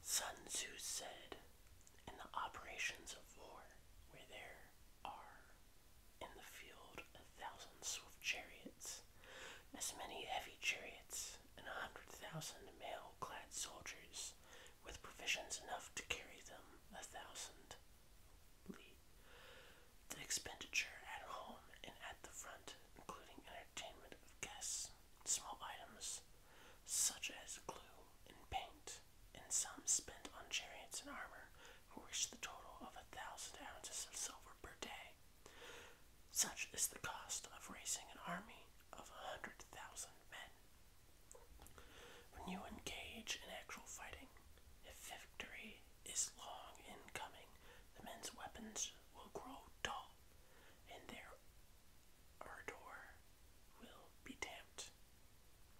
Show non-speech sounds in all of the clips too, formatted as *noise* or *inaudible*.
Sun Tzu said, In the operations of war, where there are in the field a thousand swift chariots, as many heavy chariots, and a hundred thousand mail clad soldiers, with provisions enough to carry them a thousand lead. The expenditure at home and at the front, including entertainment of guests, small items such as glue and paint, and some spent on chariots and armor, who reached the total of a thousand ounces of silver per day. Such is the cost of raising an army of a hundred thousand men. When you engage in actual fighting, if victory is long in coming, the men's weapons will grow dull, and their ardor will be damped.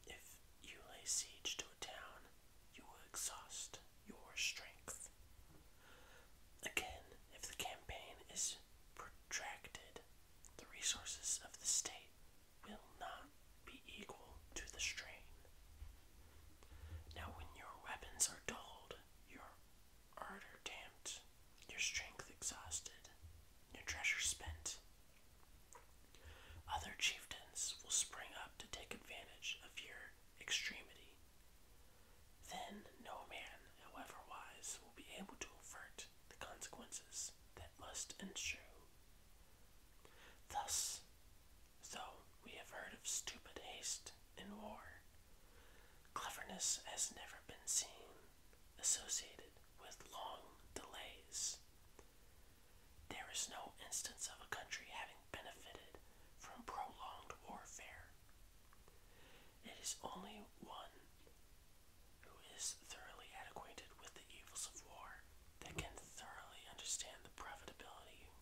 If you lay siege to a town, you will exhaust your strength. Again, if the campaign is protracted, the resources of the state will not be equal to the strain. Now, when your weapons are dulled, your ardor damped, your strength exhausted, your treasure spent, other chieftains will spring up to take advantage of your extremity. Then no man, however wise, will be able to avert the consequences that must ensue. Thus, Though we have heard of stupid haste in war, cleverness has never been seen associated with long delays. There is no instance of a country having benefited from prolonged warfare. It is only one who is thoroughly acquainted with the evils of war that can thoroughly understand the profitability,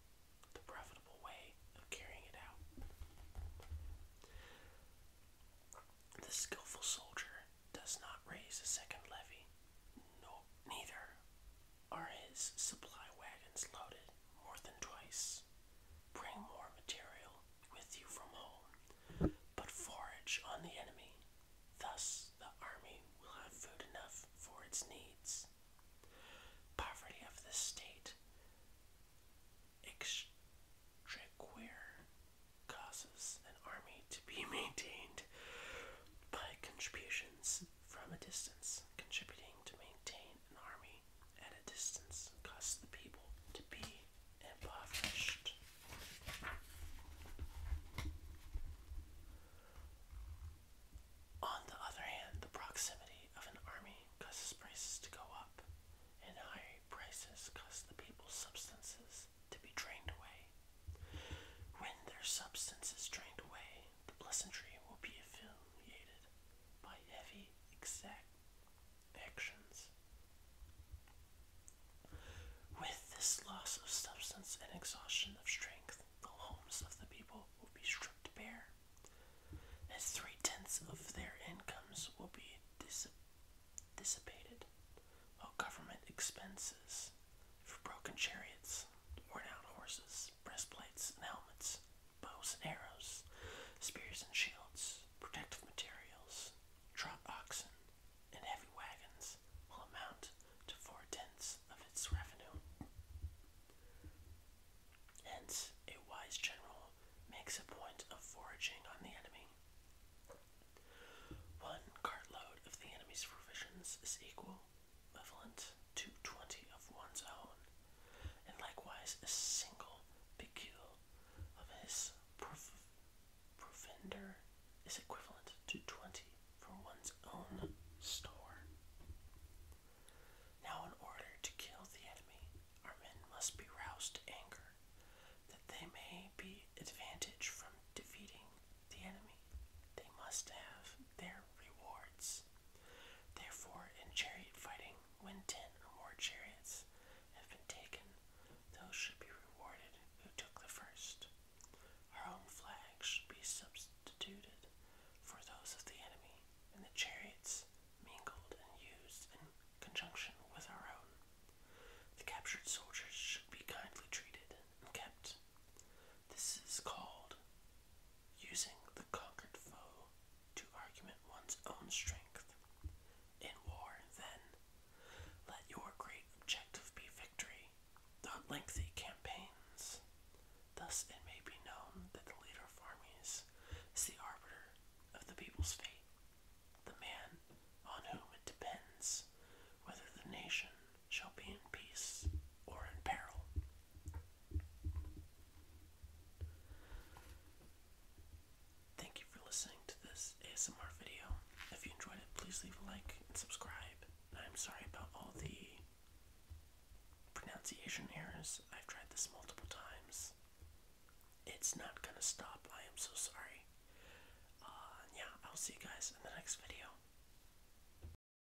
the profitable way of carrying it out. The skillful soldier does not raise a second levy, no, neither are his supply wagons loaded more than twice. Bring more material with you from home, but forage on the enemy Thus, the army will have food enough for its needs. Poverty of the state extriquer causes an army to be *laughs* maintained by contributions from a distance. Contributing to maintain an army at a distance causes the people to be impoverished. On the other hand, the proximity of an army causes prices to go up, and high prices cause the people's substances to be drained away. When their substance is drained away, the pleasantry will be affiliated by heavy exact actions. With this loss of substance and exhaustion of strength, the homes of the people will be stripped bare, as three tenths of their incomes will be dissipated, while government expenses for broken chariots, worn out horses, breastplates and helmets, bows and arrows, spears and shields, protective materials, trot oxen, and heavy wagons will amount to four tenths of its revenue. Hence, a wise general makes a point of foraging on the enemy. One cartload of the enemy's provisions is equal, equivalent to twenty of one's own, and likewise a single picule of his provender is equivalent to 20 for one's own store. Now, in order to kill the enemy, our men must be roused to anger, that they may be advantage from defeating the enemy. They must have their rewards. Therefore, in chariot fighting, when ten or more chariots have been taken, those should be rewarded who took the first. Our own flags should be substituted for those of the enemy, and the chariots mingled and used in conjunction with our own. The captured soldiers should be kindly treated and kept. This is called using the conquered foe to argument one's own strength. In war, then, let your great objective be victory, not lengthy campaigns. Thus it may be known that the leader of armies is the arbiter of the people's fate, the man on whom it depends whether the nation shall be in peace or in peril. Thank you for listening to this ASMR video. If you enjoyed it, please leave a like and subscribe. I'm sorry about all the pronunciation errors. I've tried this multiple times. It's not gonna stop. I am so sorry. Uh, yeah, I'll see you guys in the next video.